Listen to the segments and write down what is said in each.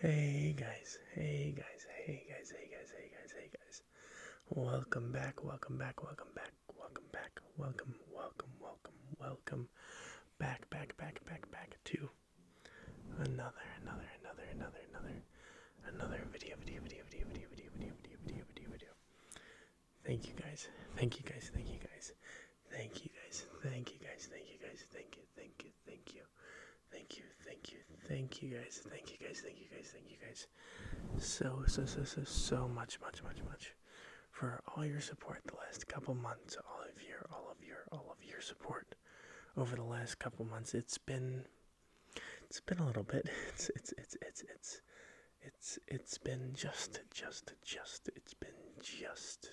Hey guys, hey guys, hey guys, hey guys, hey guys, hey guys. Welcome back, welcome back, welcome back, welcome back, welcome, welcome, welcome, welcome back, back, back, back, back to another, another, another, another, another, another video, video, video, video, video, video, video, video, video, video, video. Thank you guys, thank you guys, thank you guys, thank you guys, thank you guys, thank you guys, thank you, thank you, thank you. Thank you, thank you, thank you guys, thank you guys, thank you guys, thank you guys. So, so, so, so, so much, much, much, much for all your support the last couple months. All of your, all of your, all of your support over the last couple months. It's been, it's been a little bit. It's, it's, it's, it's, it's, it's, it's been just, just, just, it's been just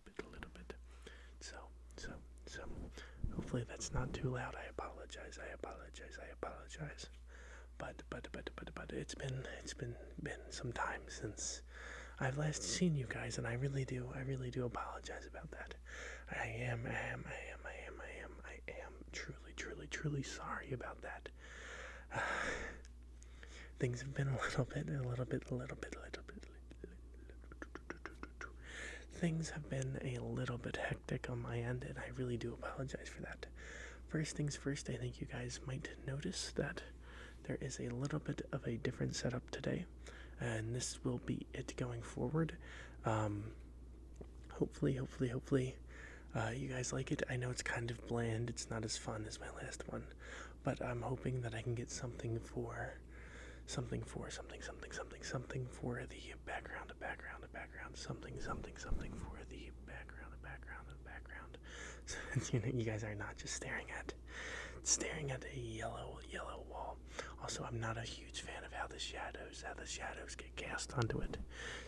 a little bit. So, so, so. Hopefully that's not too loud. I apologize. I apologize. I apologize. But, but, but, but, but it's been, it's been, been some time since I've last seen you guys, and I really do, I really do apologize about that. I am, I am, I am, I am, I am, I am truly, truly, truly sorry about that. things have been a little bit, a little bit, a little bit, a little bit, Things have been a little bit hectic on my end, and I really do apologize for that. First things first, I think you guys might notice that there is a little bit of a different setup today, and this will be it going forward. Um, hopefully, hopefully, hopefully, uh, you guys like it. I know it's kind of bland, it's not as fun as my last one, but I'm hoping that I can get something for something for something something something something for the background, a background, a background, something something something for the background, a background, a background. So you know, you guys are not just staring at staring at a yellow yellow wall. Also, I'm not a huge fan of how the shadows how the shadows get cast onto it.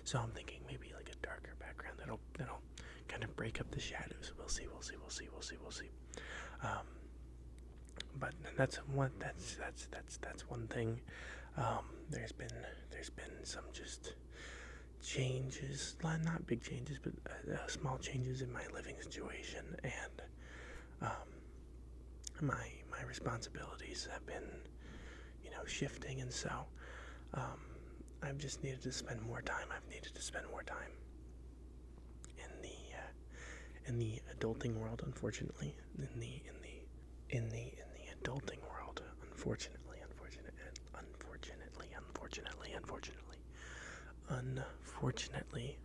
So I'm thinking maybe like a darker background that'll that'll kind of break up the shadows. We'll see. We'll see. We'll see. We'll see. We'll see. Um, but that's one that's that's that's that's one thing. Um, there's been there's been some just changes, not big changes, but uh, uh, small changes in my living situation, and um, my my responsibilities have been, you know, shifting, and so um, I've just needed to spend more time. I've needed to spend more time in the uh, in the adulting world, unfortunately, in the in the in the in the adulting world, unfortunately, unfortunately, unfortunately, unfortunately, unfortunately,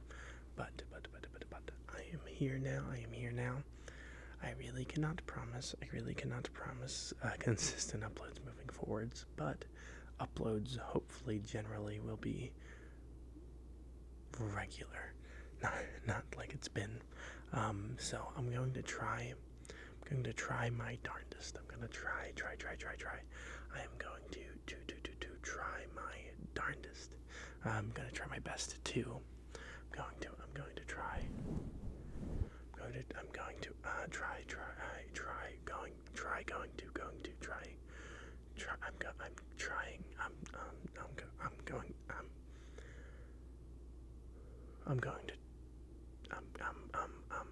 but but but but but I am here now. I am here now. I really cannot promise. I really cannot promise uh, consistent uploads moving forwards, but uploads hopefully generally will be regular, not not like it's been. Um, so I'm going to try. I'm going to try my darndest. I'm going to try, try, try, try, try. I am going to to to to to try my darndest. I'm going to try my best to. I'm going to. I'm going to try. I'm going to. I'm going to uh, try, try, try, going, try, going to, going to, try, I'm go, I'm I'm um I'm I'm going um I'm going to I'm um, um um um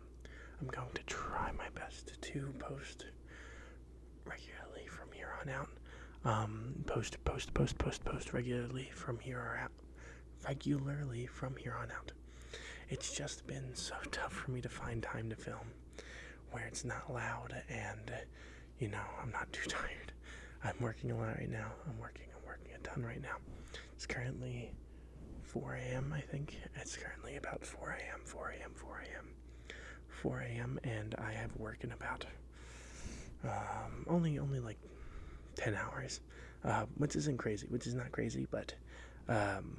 I'm going to try my best to post regularly from here on out. Um post post post post post regularly from here on out regularly from here on out. It's just been so tough for me to find time to film where it's not loud and you know I'm not too tired. I'm working a lot right now. I'm working. I'm working a ton right now. It's currently 4 a.m. I think it's currently about 4 a.m. 4 a.m. 4 a.m. 4 a.m. and I have worked in about um, only only like 10 hours, uh, which isn't crazy, which is not crazy, but um,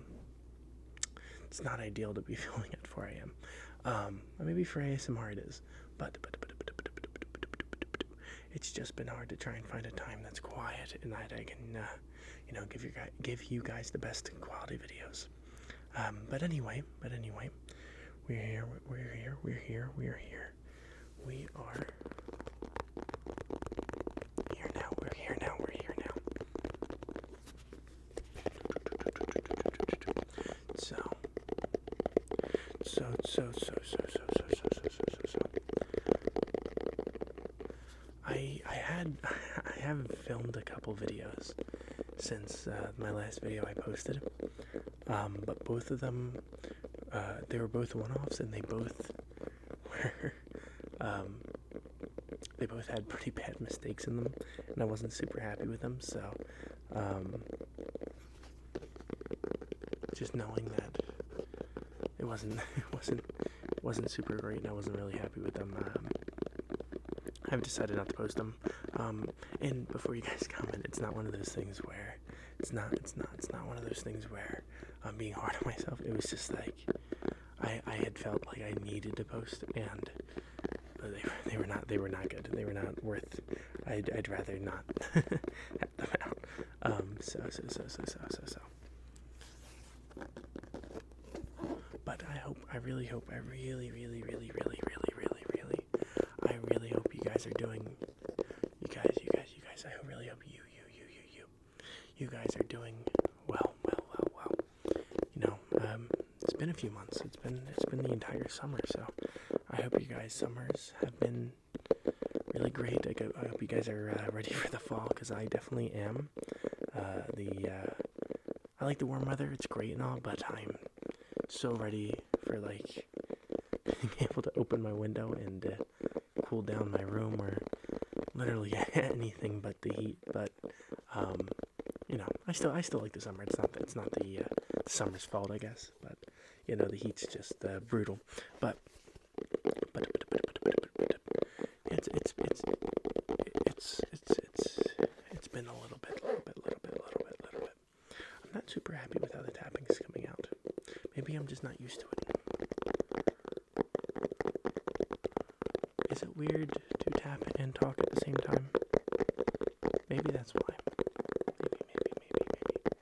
it's not ideal to be filming at 4 a.m. maybe for ASMR it is, but, it's just been hard to try and find a time that's quiet and that I can, you know, give you guys the best quality videos. but anyway, but anyway, we're here, we're here, we're here, we're here, we are here now. We're here now. We're here now. So, so, so, so, so, so, so, so, so, so, so, so. I I had I have filmed a couple videos since uh, my last video I posted, um, but both of them uh, they were both one-offs and they both were um, they both had pretty bad mistakes in them, and I wasn't super happy with them. So, um, just knowing that it wasn't it wasn't wasn't super great, and I wasn't really happy with them. Um, I've decided not to post them. Um, and before you guys comment, it's not one of those things where it's not it's not it's not one of those things where I'm being hard on myself. It was just like I, I had felt like I needed to post, and they were, they were not they were not good. They were not worth. I'd, rather not have them out. Um, so so so so so so so. But I hope I really hope I really really really really really really really I really hope you guys are doing. You guys you guys you guys I really hope you you you you you you guys are doing well, well, well, well. You know, um, it's been a few months. It's been it's been the entire summer. So I hope you guys' summers have been really great. I, go, I hope you guys are uh, ready for the fall because I definitely am. Uh, the uh, I like the warm weather. It's great and all, but I'm so ready for like being able to open my window and uh, cool down my room or literally any anything but the heat. But um, you know, I still I still like the summer. It's not it's not the, uh, the summer's fault, I guess. But you know, the heat's just uh, brutal. But but, but, but, but, but, but, but it's, it's it's it's it's it's it's been a little bit, little bit, little bit, little bit, little bit. I'm not super happy with how the tapping's coming out. Maybe I'm just not used to it. Is it weird to tap and talk at the same time? Maybe that's why. Maybe, maybe, maybe, maybe.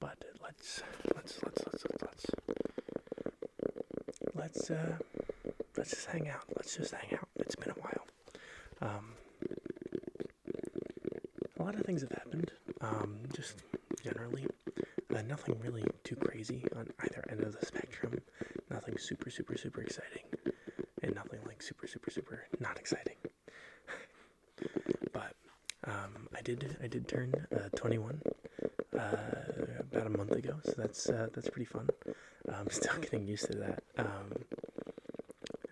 But let's let's let's let's let's let's uh, let's just hang out. Let's just hang out. It's been a while. Um, a lot of things have happened. Um, just generally, uh, nothing really too crazy on either end of the spectrum. Nothing super super super exciting, and nothing like super super super not exciting but um, I did I did turn uh, 21 uh, about a month ago, so that's uh, that's pretty fun. I'm still getting used to that. Um,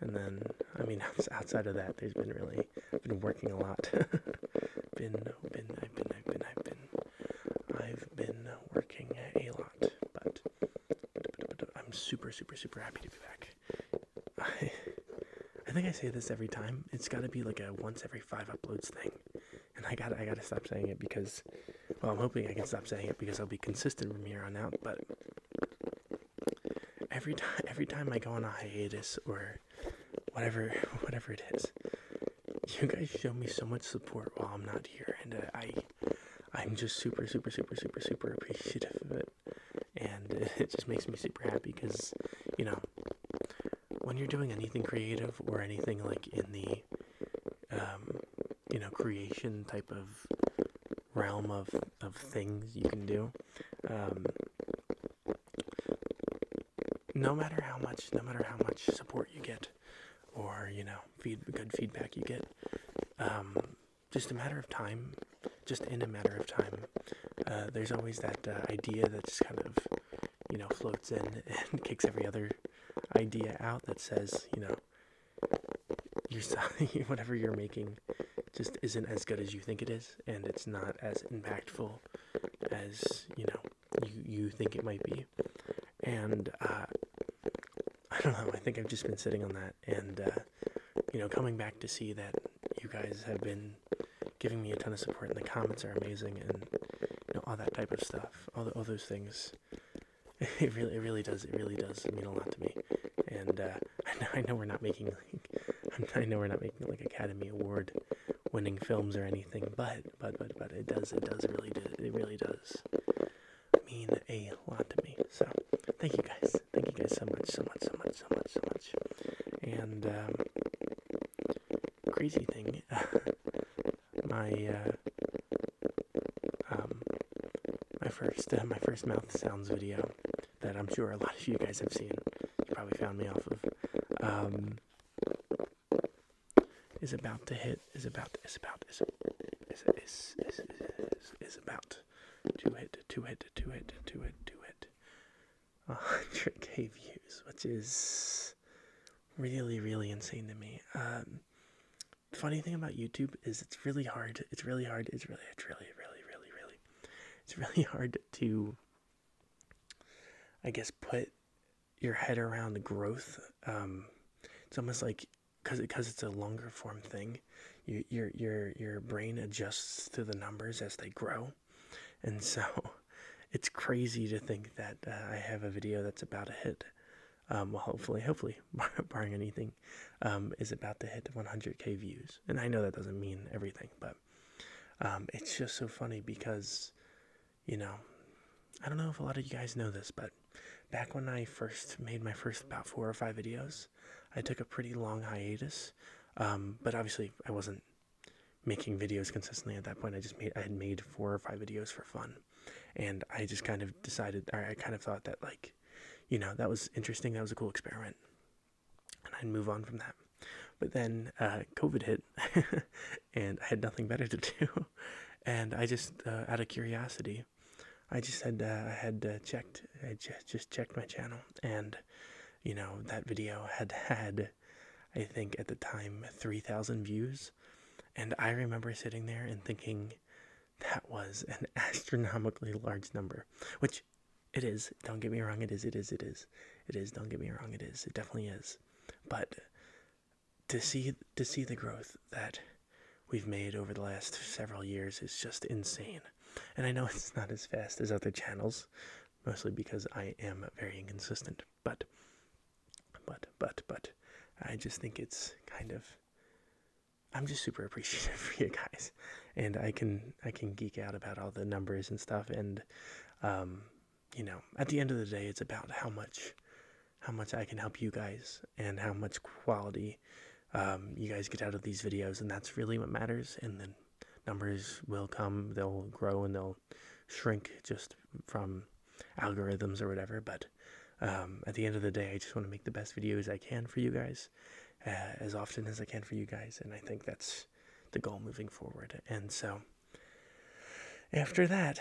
and then I mean outside of that, there's been really been working a lot. been been I've been I've been I've been I've been working a lot, but I'm super super super happy to be back I, I think I say this every time. It's got to be like a once every five uploads thing, and I got to I got to stop saying it because, well, I'm hoping I can stop saying it because I'll be consistent from here on out. But every time every time I go on a hiatus or whatever whatever it is, you guys show me so much support while I'm not here, and I I'm just super super super super super appreciative of it and it just makes me super happy because you know when you're doing anything creative or anything like in the um, you know creation type of realm of of things you can do um, no matter how much no matter how much support you get or you know feed good feedback you get um, just a matter of time, just in a matter of time. Uh, there's always that uh, idea that just kind of, you know, floats in and kicks every other idea out that says, you know, your whatever you're making just isn't as good as you think it is, and it's not as impactful as you know you you think it might be. And uh, I don't know. I think I've just been sitting on that, and you know, coming back to see that you guys have been giving me a ton of support, and the comments are amazing, and you know, all that type of stuff, all, those things. It really, it really does. It really does mean a lot to me, and uh, I, know, we're not making like, I know we're not making like Academy Award winning films or anything, but but but but it does. It does really do. It really does mean a lot to me. So thank you guys. Thank you guys so much, so much, so much, so much, so much. And um, crazy thing, my uh, um, my first uh, my first mouth sounds video that I'm sure a lot of you guys have seen. You probably found me off of. Um, is about to hit. Is about. Is about. Is about. is about Two hit, two hit, two hit, two hit, two hit. 100k views, which is really, really insane to me. Um, the funny thing about YouTube is it's really hard. It's really hard. It's really, it's really, really, really, really. It's really hard to, I guess, put your head around the growth. Um, it's almost like because because it's a longer form thing you, your your your brain adjusts to the numbers as they grow and so it's crazy to think that uh, I have a video that's about to hit um, well hopefully hopefully barring anything um, is about to hit 100k views and I know that doesn't mean everything but um, it's just so funny because you know I don't know if a lot of you guys know this but back when I first made my first about four or five videos, I took a pretty long hiatus. Um, but obviously, I wasn't making videos consistently at that point. I just made I had made four or five videos for fun, and I just kind of decided, I kind of thought that like, you know, that was interesting. That was a cool experiment, and I'd move on from that. But then uh, COVID hit, and I had nothing better to do, and I just, uh, out of curiosity, I just had uh, I had uh, checked I just just checked my channel and you know that video had had I think at the time 3000 views and I remember sitting there and thinking that was an astronomically large number which it is don't get me wrong it is it is it is it is don't get me wrong it is it definitely is but to see to see the growth that we've made over the last several years is just insane. And I know it's not as fast as other channels, mostly because I am very inconsistent. But, but, but, but, I just think it's kind of. I'm just super appreciative for you guys, and I can I can geek out about all the numbers and stuff, and um, you know, at the end of the day, it's about how much how much I can help you guys and how much quality um, you guys get out of these videos. And that's really what matters. And then numbers will come, they'll grow and they'll shrink just from algorithms or whatever. But um, at the end of the day, I just want to make the best videos I can for you guys uh, as often as I can for you guys. And I think that's the goal moving forward. And so after that,